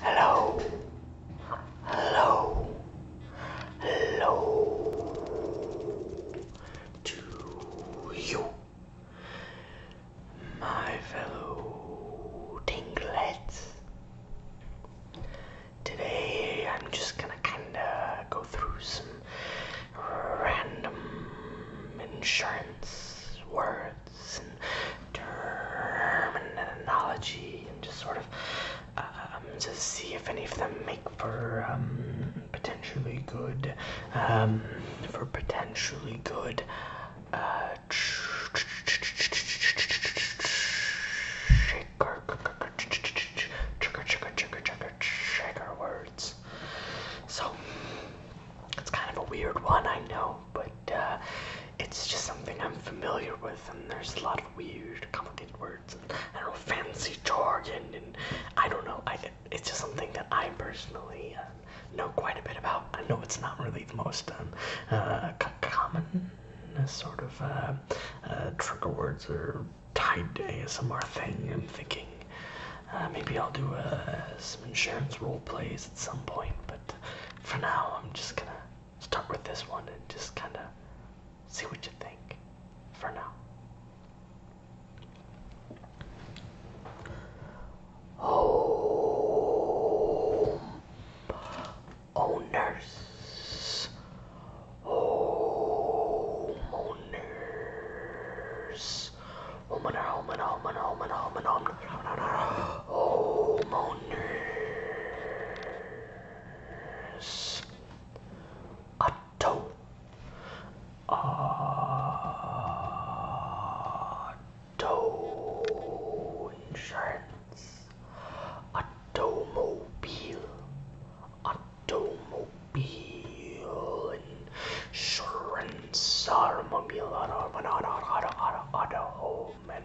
Hello. Hello. Hello to you, my fellow tinglets. Today I'm just gonna kinda go through some random insurance words and terminology and just sort of um, see if any of them make for um, potentially good, um, for potentially good uh, shaker, shaker, shaker, shaker, trigger, trigger, shaker words. So it's kind of a weird one, I know but uh, it's just something I'm familiar with, and there's a lot of weird, complicated words, and I don't know, fancy jargon, and I don't know. I, it's just something that I personally uh, know quite a bit about. I know it's not really the most um, uh, common sort of trigger words or tied to ASMR thing. I'm thinking maybe I'll do some insurance role plays at some point, but for now I'm just gonna start with this one and just kind of see what you think for now. Home owners, oh, home owners, oh, home owner, home owner, home homeowners. Otto. Auto insurance. Automobile. Automobile insurance. Automobile. Auto, auto, auto, auto, auto, auto home and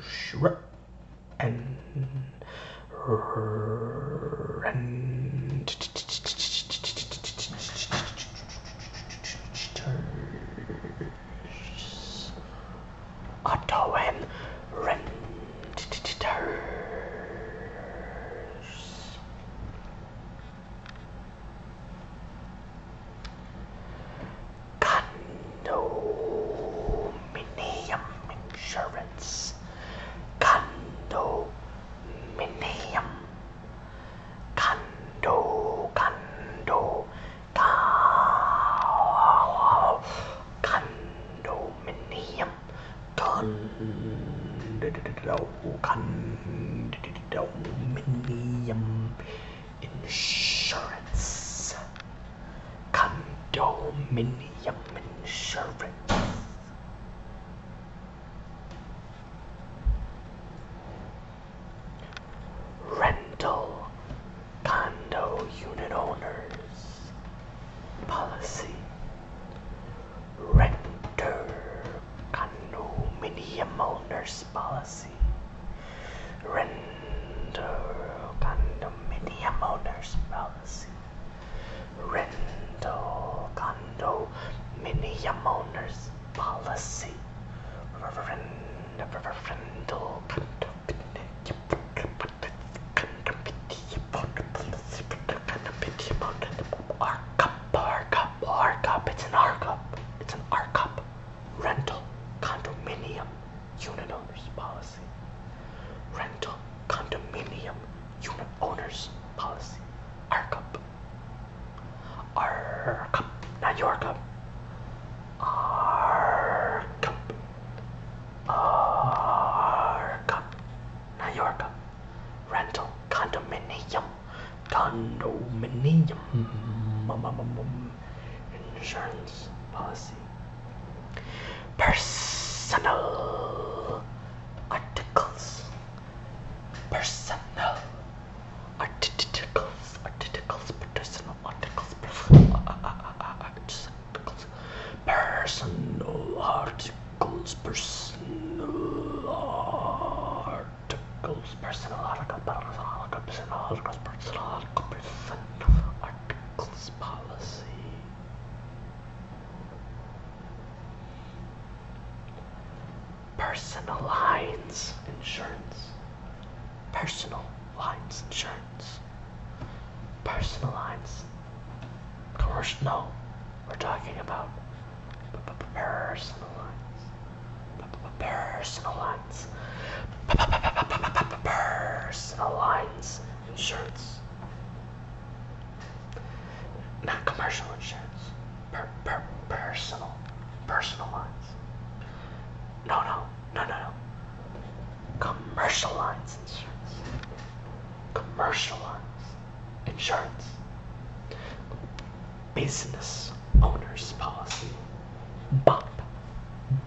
Shrup and rent Otto and renters. Condominium insurance. Condominium. Condo, condo, cow, condominium, condo, condominium insurance. Condominium insurance. Rental condo unit owners policy. Renter condominium owners policy. Legacy. Rental condominium owners policy. Rental condominium owners policy. Rental R cup, R cup, R cup. It's an R cup. It's an R cup. Rental condominium unit owners policy, rental condominium unit owners policy, ARCUP, ARCUP, not your cup, ARCUP, ARCUP, not your cup, rental condominium, condominium. Mm-hmm insurance policy. Personal articles. Personal articles. Articles. Personal articles. Personal articles. Personal articles. Personal articles. Personal articles. Personal articles. Personal articles. Personal articles articles policy. Personal lines insurance. Personal lines insurance. Personal lines. Commercial. No, we're talking about personal lines. Personal lines. Personal lines insurance. Not commercial insurance. Per, per, personal. Personal lines. No, no. No, no, no. Commercial lines insurance. Commercial lines insurance. Business owner's policy. Bump.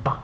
Bump.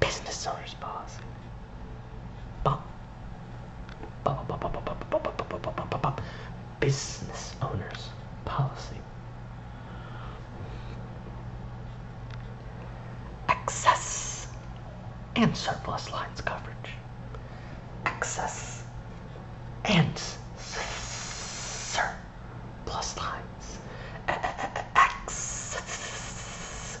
Business owners, boss. Business owners policy. Access and surplus lines coverage. Access and surplus lines. Excess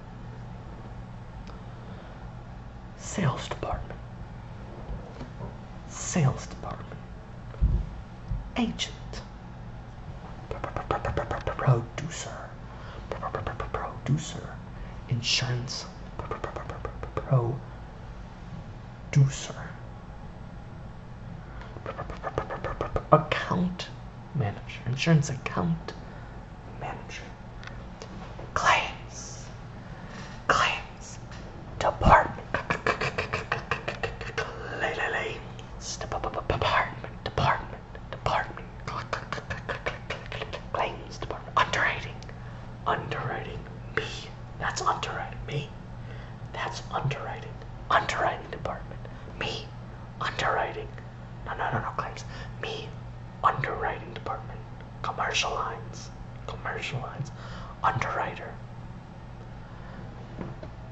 Sales department. Sales department. Agent. Producer. Producer. Insurance. Producer. Account manager, insurance account manager, claims, claims, department, claims, department, department, department, claims department, underwriting, underwriting, me, that's underwriting, me, that's underwriting, underwriting department, me, underwriting. No, no, no, no claims. Me, underwriting department, commercial lines, commercial lines, underwriter,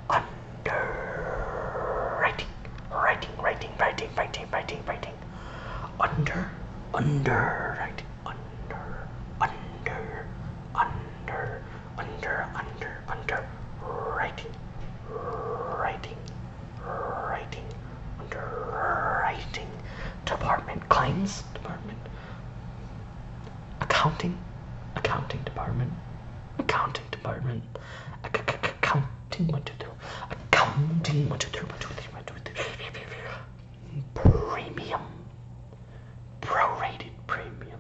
underwriting, writing, writing, writing, writing, writing, writing, under, underwriting, under, under, under, under, under, under, writing, writing. Writing, Underwriting. Department. Claims department. Accounting. Accounting department. Accounting department. Accounting. One, two, three. Accounting. One, two, three. Premium. Prorated premium.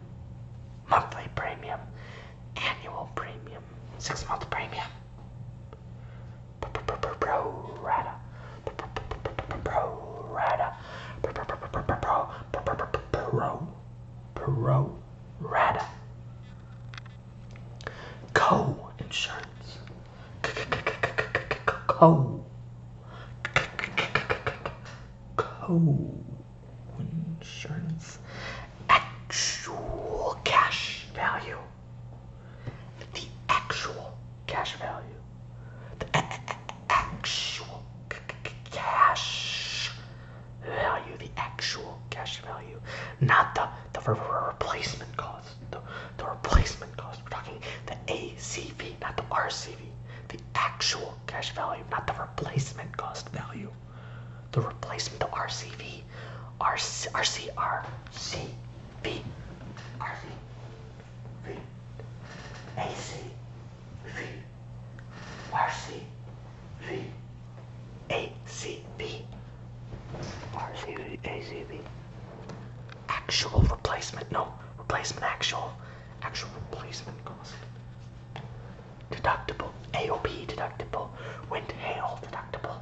Monthly premium. Annual premium. Six month premium. Pro rata. Pro rata. Pro. Pro rata. Co insurance. Co. Co insurance actual cash value. The actual cash value. The actual cash value. The actual cash value. Not the, the replacement cost. The, the replacement cost. We're talking the ACV, not the RCV. The actual cash value, not the replacement cost value. The replacement, the RCV, RC, Actual replacement, no, replacement actual, actual replacement cost. Deductible, AOP deductible, wind hail deductible,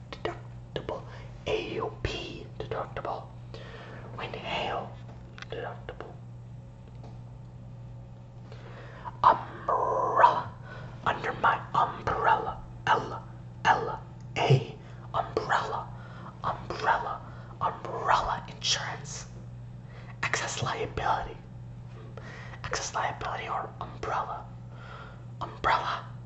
deductible. AUP deductible. When hail deductible. Umbrella. Under my umbrella. L L A umbrella. Umbrella. Umbrella insurance. Excess liability. Excess liability or umbrella. Umbrella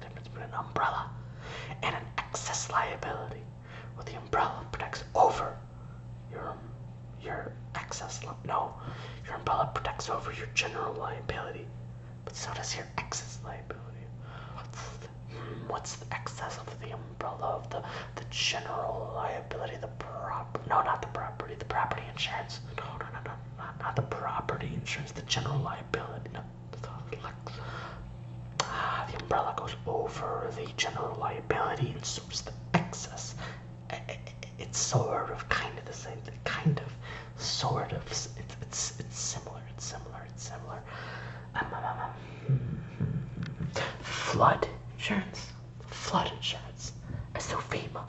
the difference between an umbrella and an excess liability. Well, the umbrella protects over your your excess. No, your umbrella protects over your general liability, but so does your excess liability. What's the, what's the excess of the umbrella of the the general liability? The prop? No, not the property. The property insurance. No, no, no, no, not, the property insurance. The general liability. Uh, the umbrella goes over the general liability and suits the excess. Eh, eh, eh, it's sort of, kind of the same, kind of, sort of. It's it's it's similar. It's similar. It's similar. Um, um, um, flood insurance. Flood insurance. It's no FEMA.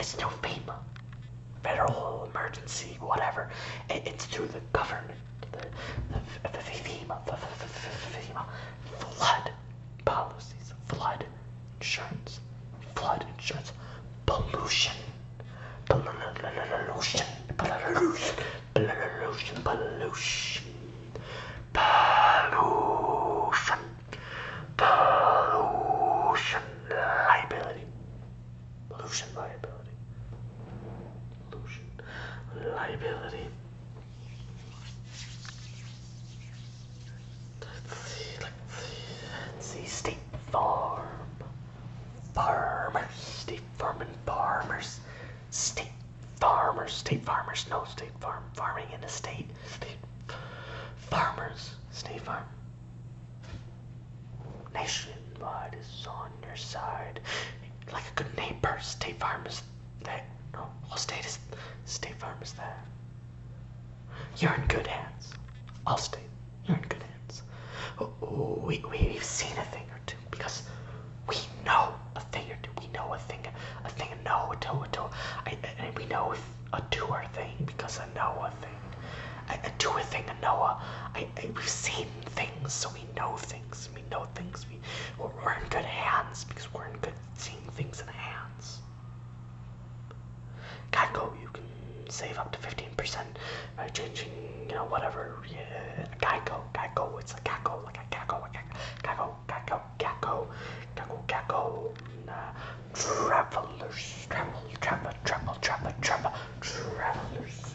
It's no FEMA. Federal emergency, whatever. It's through the government the FEMA, FEMA, flood policies, flood insurance, flood insurance, pollution, pollution, pollution, pollution, pollution, pollution, pollution liability, pollution liability liability. Let's see, let's see, let's see, State Farm, farmers, State farming and farmers, State farmers, State farmers, no State Farm, farming in the state, State farmers, State Farm. Nationwide is on your side. Like a good neighbor, State Farm is there. No, all state is State Farm is there. You're in good hands. All state, you're in good hands. Oh, we, we've seen a thing or two because we know a thing or two. We know a thing, a thing, a no, a toe, a toe. I, I, we know a doer thing because a Noah thing. A, a thing, a Noah. I, we've seen things, so we we know things. We know things. We, we're, we're in good hands because we're in good seeing things in hands. Geico, you can save up to 15% by changing, you know, whatever. Yeah, Geico, Geico, it's a Geico, like a Geico, a Geico, Geico, Geico, Geico, Geico, uh, Travelers, Travel, Travel, Travel, Travel, Travel, Travelers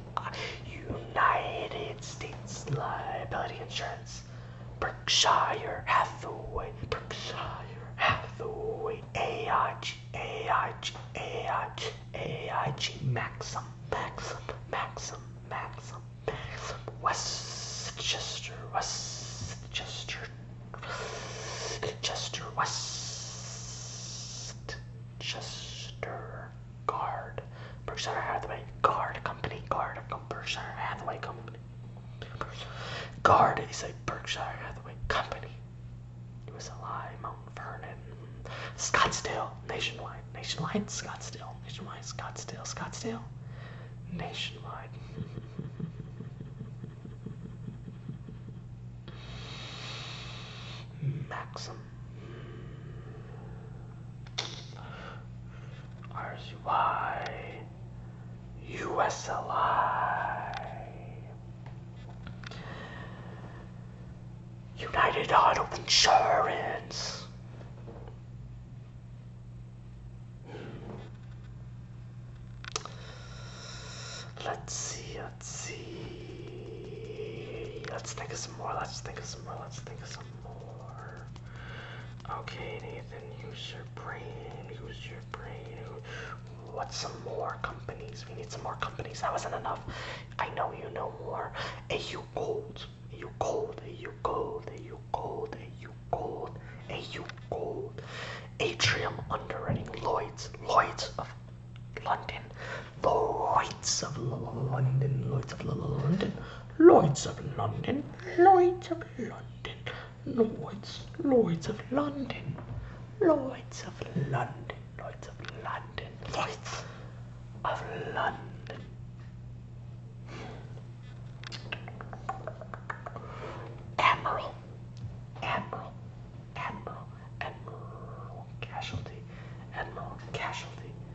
you United States Liability Insurance, Berkshire Hathaway, Berkshire Hathaway, AIG, AIG, AIG, AIG, Maxim, Maxim, Maxim, Maxim, Maxim, Westchester, Westchester, Westchester, Westchester, Guard, Berkshire Hathaway, Guard Company, Guard Berkshire Hathaway Company. Guard is a Berkshire Hathaway company. It was a lie, Mount Vernon, Scottsdale, Nationwide, Nationwide, Scottsdale, Nationwide, Scottsdale, Scottsdale, Nationwide. Maxim, RCY United Auto Insurance. Let's see, let's see. Let's think of some more. Let's think of some some Let's think of some more. Okay, Nathan, use your brain. Use your brain. What's some more companies? We need some more companies. That wasn't enough. I know you know more. AU Gold. AU Gold. AU Gold. AU Gold. AU Gold. AU Gold. Atrium Underwriting. Lloyds. Lloyds of London. Lights of London, lights of London, lights of London, lights of London, lights, lights of London, lights of London, lights of London, lights of London. Admiral, Admiral, Admiral, Admiral, casualty, Admiral, casualty.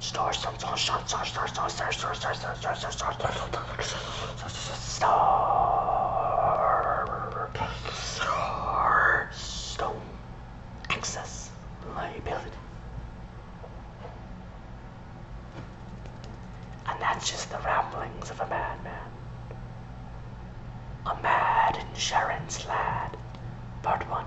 stars, stars, stars, stars, stars, stars, stars, stars, stars, stars, stars, stars, stars, star, star, stone, excess, liability. And that's just the ramblings of a madman. A mad insurance lad, part one.